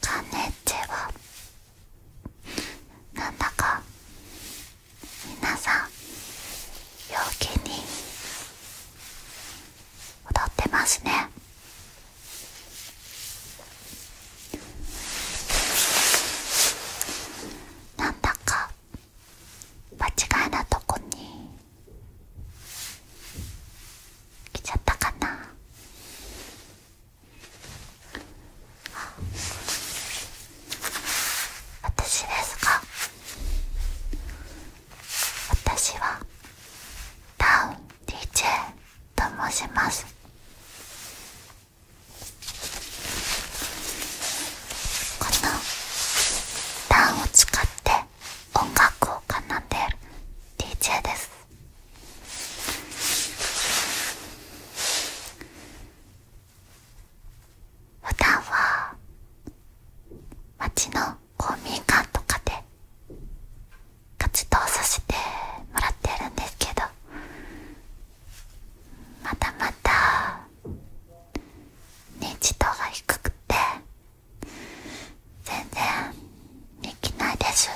カンネッチェはなんだか皆さん陽気に踊ってますねなんだか間違いなとこに来ちゃったかな私ですか私はダウン DJ と申しますこのタンを使って音楽を奏んでる DJ です普段は町の公民館とかで活動させてもらってるんですけどまたまた認知度が低くて全然できないです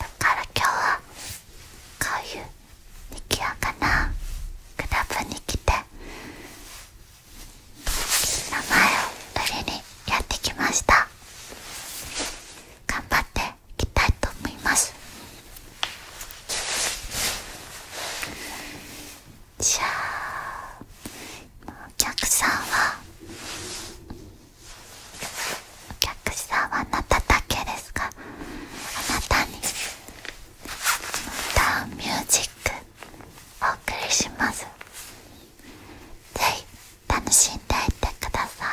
だから今日はこういうにぎやかなクラブに来て名前を売りにやってきました頑張っていきたいと思いますお客さんはお客さんはあなただけですかあなたにダウミュージックお送りしますぜひ楽しんでいってください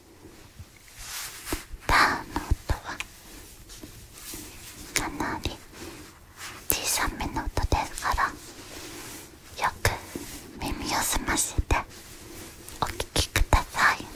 「タ」の音はかなり小さめの音ですからよく耳を澄ませてお聞きください。「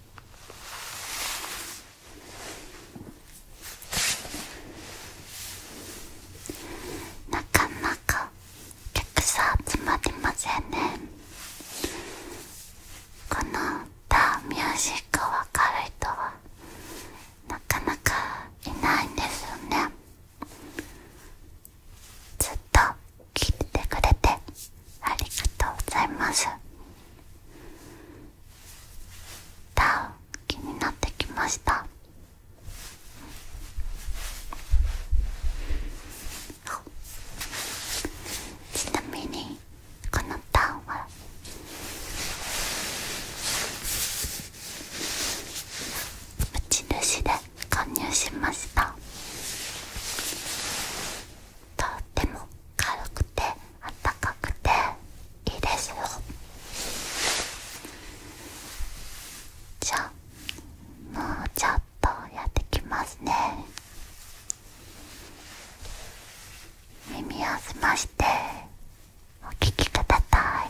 なかなかお客さん集まりませんねこの歌ミュージックを分かる人はなかなかいないんですよねずっと聞いてくれてありがとうございますン、気になってきましたちなみにこのターンは無印で購入しましたとっても軽くてあったかくていいですよじゃあもうちょっとやってきますね耳を澄ましてお聞きください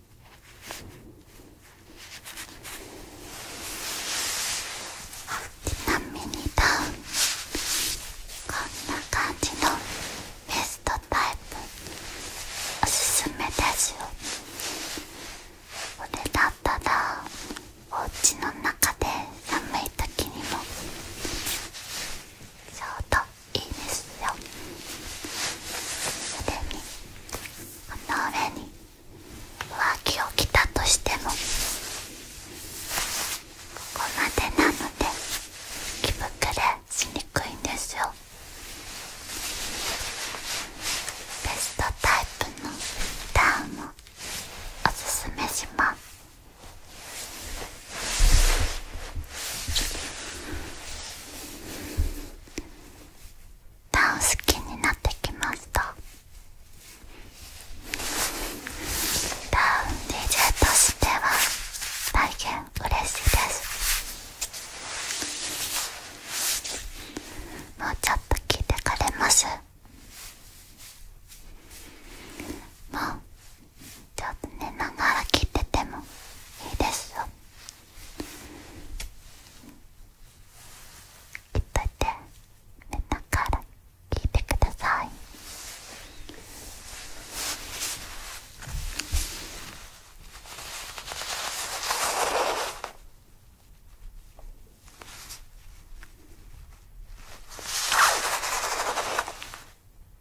ちなみにダウンこんな感じのベストタイプおすすめですよこれだったらお家の中で寒い時にもちょうどいいですよそれにこの上に上着を着たとしてもここまでなので着膨れしにくいんですよベストタイプのダウンをおすすめしますダウン好きになってきます。と。ダウン DJ としては大変嬉しいですもうちょっと聞いてくれますもうちょっと寝ながら聞いててもいいですよきっといて寝ながら聞いてください「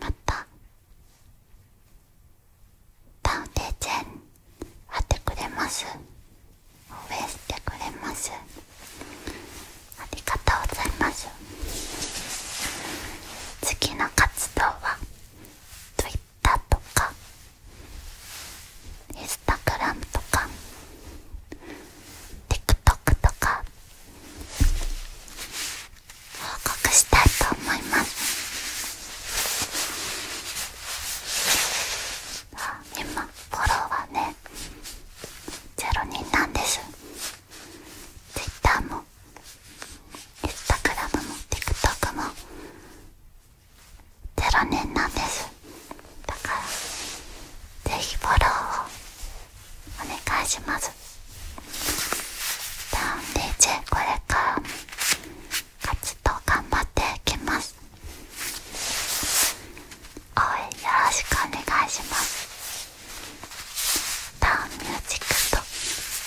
またタウンデーチェーン貼ってくれます応援してくれますありがとうございます次の活動は t w i t とかインスタグラムとか TikTok とか報告したいと思います今フォローはね0人なんです Twitter もインスタグラム a m も TikTok も0年なんですだからぜひフォローをお願いしますダウン DJ これからも活動頑張っていきます応援よろしくお願いしますダウンミュージックと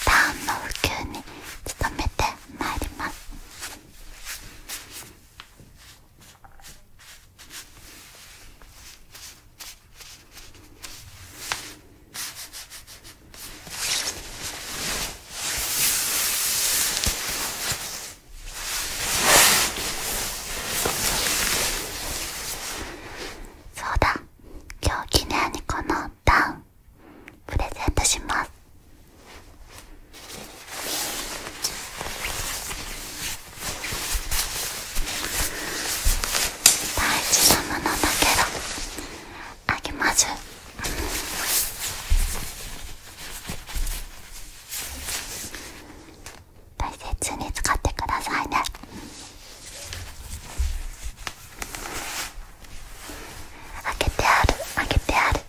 ダウンの普及に努めてまいりますそうだ今日記念にこのダウンプレゼントします大事なものだけどあげます大切に使ってくださいね開けてある開けてある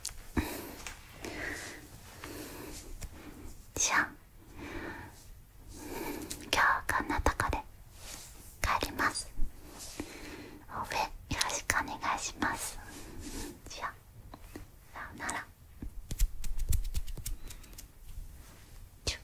じゃあ今日はこんなとこで帰ります応援よろしくお願いしますじゃあさよならちょ